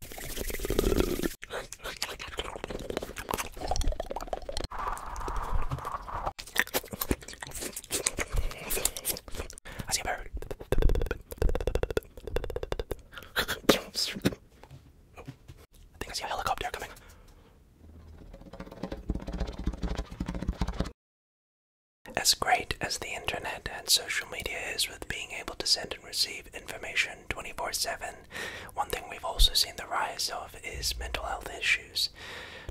I see a bird. I think I see a helicopter coming. As great as the internet and social media is with being able to send and receive information 24 7. One thing we've also seen the rise of is mental health issues.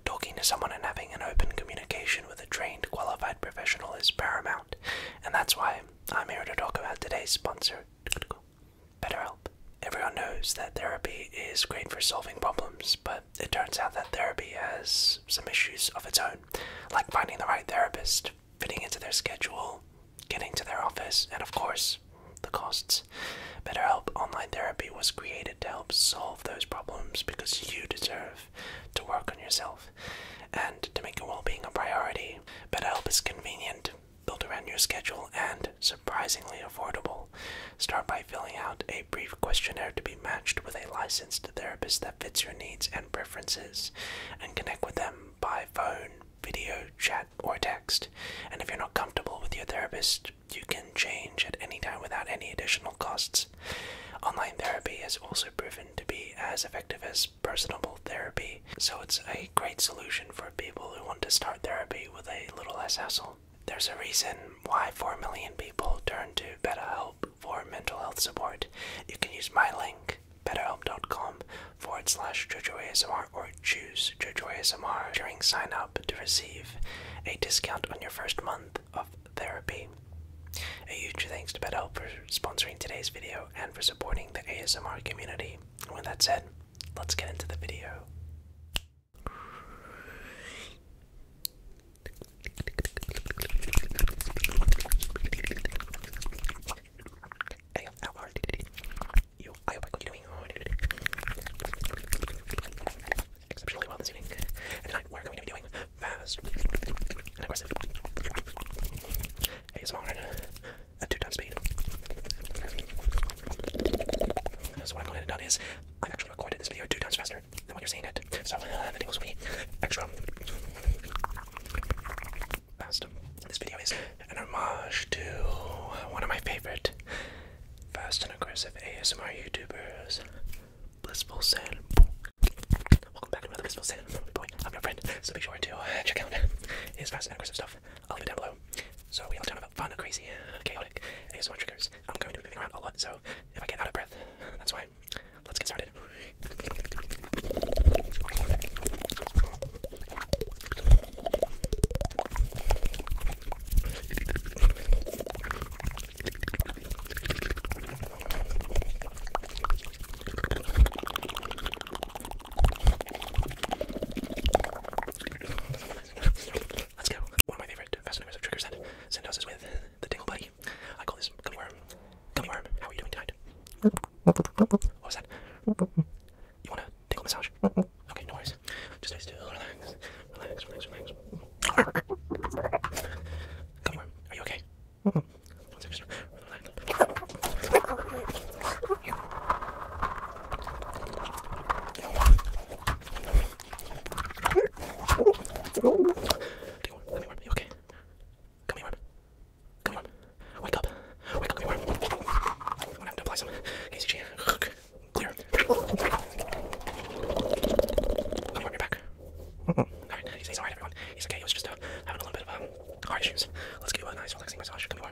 Talking to someone and having an open communication with a trained, qualified professional is paramount, and that's why I'm here to talk about today's sponsor, BetterHelp. Everyone knows that therapy is great for solving problems, but it turns out that therapy has some issues of its own, like finding the right therapist, fitting into their schedule, getting to their office, and of course, the costs. BetterHelp Online Therapy was created to help solve those problems because you deserve to work on yourself and to make your well being a priority. BetterHelp is convenient, built around your schedule, and surprisingly affordable. Start by filling out a brief questionnaire to be matched with a licensed therapist that fits your needs and preferences, and connect with them by phone, video, chat, or text. And if you're not comfortable with your therapist, you can change at any time without any additional costs. Online therapy has also proven to be as effective as personable therapy, so it's a great solution for people who want to start therapy with a little less hassle. There's a reason why 4 million people turn to BetterHelp for mental health support. You can use my link betterhelp.com forward slash JojoASMR or choose JojoASMR during sign up to receive a discount on your first month of therapy. A huge thanks to BetterHelp for sponsoring today's video and for supporting the ASMR community. With that said, let's get into the video. Ayo, how are you? I hope I got you doing exceptionally well this evening. And tonight we're going to be doing fast and aggressive ASMR at two times speed. So what I've gone and done is I've actually recorded this video two times faster than when you're seeing it. So uh, the tingles will be extra this video is an homage to one of my favorite fast and aggressive ASMR YouTubers, Blissful San. Welcome back to another Blissful San. Boy, I'm your friend, so be sure to uh, check out his fast and aggressive stuff. I'll leave it down below. So we all talk about fun, crazy, chaotic ASMR triggers. I'm going to be moving around a lot, so if I get out of breath, that's why. Let's get started. Let's go. One of my favorite fascinators of Trigger Send, send us is with the Dingle Buddy. I call this Gummy Worm. Gummy Worm, how are you doing tonight? What was that? You want a tickle massage? Okay, no worries. Just stay still. Relax. Relax, relax, relax. Come here. Are you okay? One second. Relax. Come here. Are you okay? Come here. Come on. Wake up. Wake up, Greenworm. I'm gonna have to apply some KCG. Clear. Greenworm, you're back. Alright, he's, he's alright, everyone. He's okay. He was just uh, having a little bit of um, heart issues. Let's give you a nice, relaxing massage. Come on.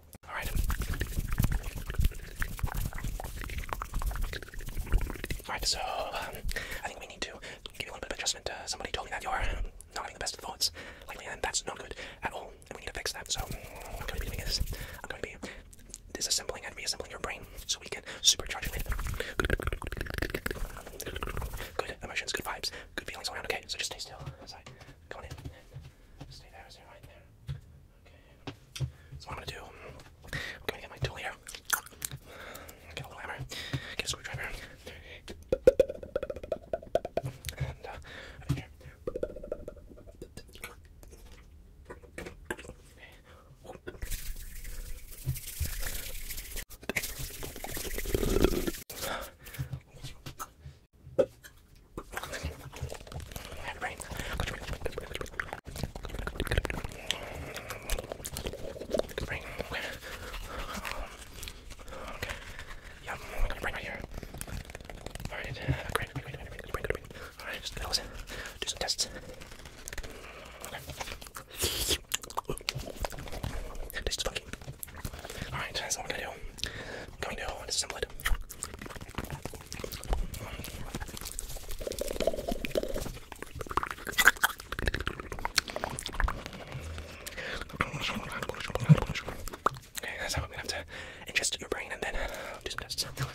All right. All right, so um, I think we need to give you a little bit of adjustment. Uh, somebody told me that you're not having the best of thoughts and that's not good at all. And we need to fix that. So what I'm going to be doing is I'm going to be disassembling and reassembling your brain so we can supercharge it good emotions, good vibes, good feelings around. Okay, so just stay still. Stay right there. Okay. So what I'm gonna do, I'm gonna get my tool here. Get a little hammer, get a screwdriver, uh, Bring. Okay. Okay. Yeah, I'm gonna bring right here. Alright, great, great, great, great, great, great. Alright, just close it. Do some tests. Okay. This is funky. Alright, so what I'm gonna do. I'm going to disassemble good. Okay, that's how I'm gonna have to ingest your brain and then do uh, some tests.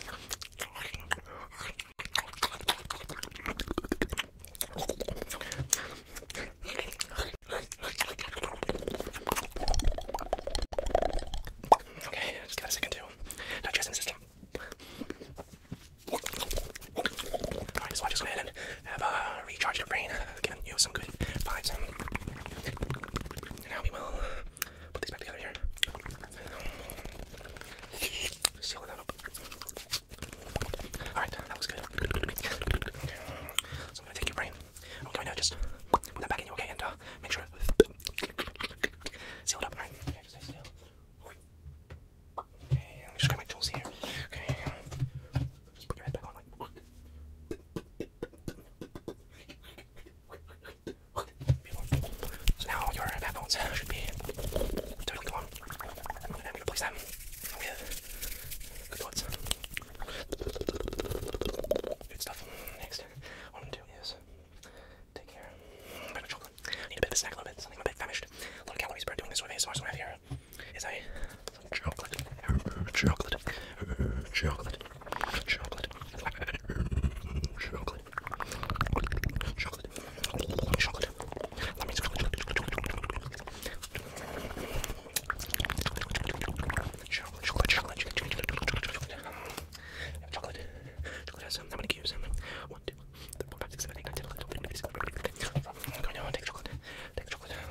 Okay, just give got a second to digest the system. Alright, so I just went ahead and have uh, recharged your brain, uh, giving you some good vibes. And now we will put these back together here. Seal that up. Alright, that was good. So I'm gonna take your brain. I'm going to just put that back in you, okay, and uh, make sure Seal up. Alright, okay, stay still. Okay, let me just grab my tools here. Okay, just put your head back on like now I'm gonna place them with stuff. what I'm going is Take care. A bit of chocolate. Need a bit of a snack, a little bit. Something I'm a bit famished. A lot of calories burned doing this with ASMR, so what I have here is I some chocolate, chocolate, chocolate, chocolate, chocolate. Chocolate. Chocolate. That means chocolate. Chocolate. Chocolate. Chocolate. Chocolate. Chocolate. Chocolate. Chocolate. Chocolate. Chocolate chocolate I'm gonna use them. One, two, three, four, five, six, seven, eight, nine, ten, eleven, twelve, thirteen, fourteen, fifteen. Go now and take chocolate. Take chocolate. Take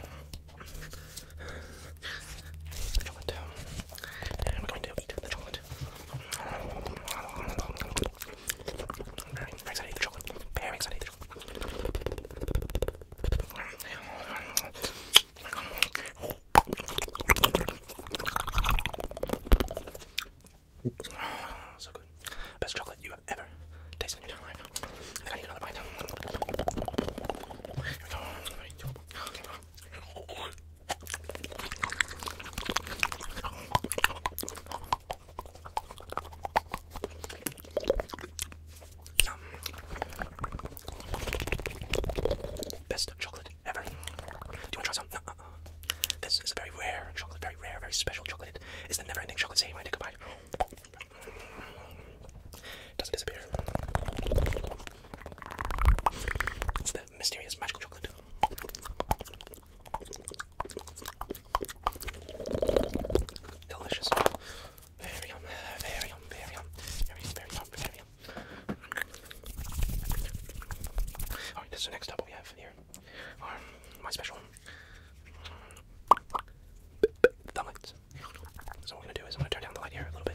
chocolate. And we're going to eat the chocolate. Very excited to eat the chocolate. Very excited to eat the chocolate. So good. Best chocolate you have ever tasted in your life. I think I need another bite. Here we go. Three, two, okay. Best chocolate ever. Do you want to try some? Uh-uh. This is a very rare chocolate, very rare, very special chocolate. It's the never-ending chocolate. Say, I take a bite. Doesn't disappear. the mysterious magical chocolate. Delicious. Very yum, very yum, very yum, very yum, very yum. Alright, this is the next up we have here. Um, my special thumbs. So what we're gonna do is I'm gonna turn down the light here a little bit.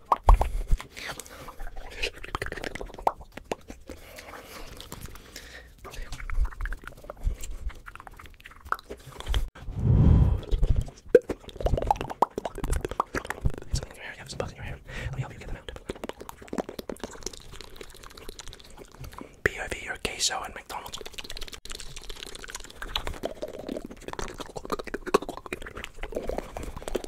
Something in your hair, you have some bugs in your hair. Let me help you get them out. POV or queso and McDonald's.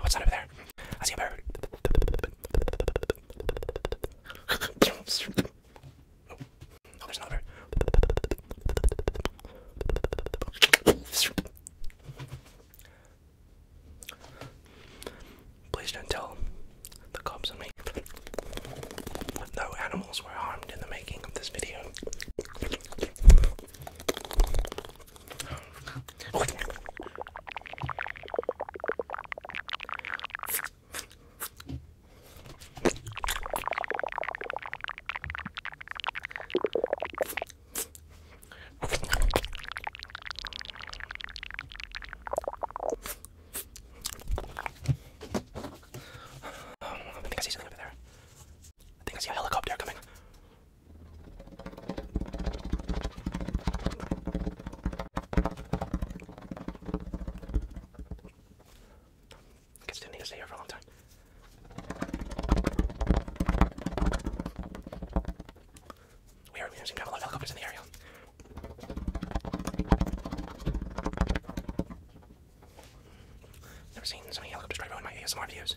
What's that over there? I see a bird. Oh, oh there's another bird. Please don't tell the cops on me no animals were harmed in the making of this video. I think I see something over there. I think I see a helicopter coming. I guess I not need to stay here for a long time. Weird, we seem to have a lot of helicopters in the area. Never seen so many helicopters try to my ASMR videos.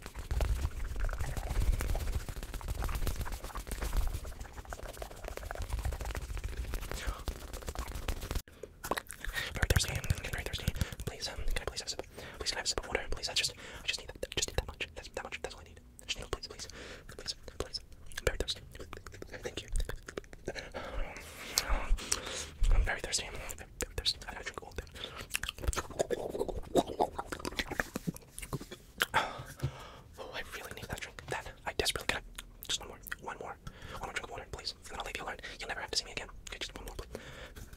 Very thirsty. I'm getting very thirsty. Please, um, can I please have a sip? Please can I have a sip of water? Please, I just, I just need that, just need that much. That's that much. That's all I need. Just need, please, please, please, please. I'm very thirsty. Thank you. I'm very thirsty. I'm very thirsty. I gotta drink all day. Oh, I really need that drink. That I desperately got. Just one more. One more. One more drink of water, please. And then I'll leave you alone. You'll never have to see me again. Okay, just one more, please.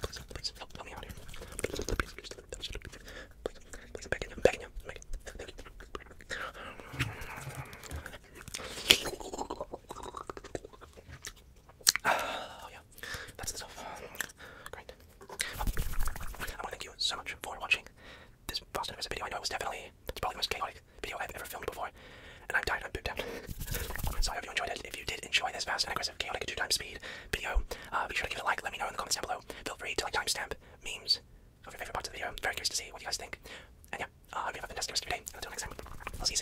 Please, please, help, me out here. Please, please, begging you. begging you. I'm begging you. Thank oh, yeah, that's the stuff. Great. I want to thank you so much for watching this Fast and Furious video. I know it definitely, it's probably the most chaotic video I've ever filmed before, and I'm tired, I'm pooped out. so I you enjoyed it. If you did enjoy this fast and aggressive, chaotic, two times speed video, uh, be sure to give it a like. Let me know in the comments down below. Feel free to like timestamp memes of your favorite parts of the video. very curious to see what you guys think. And yeah, uh, I uh, hope you have a fantastic day. Until next time, I'll see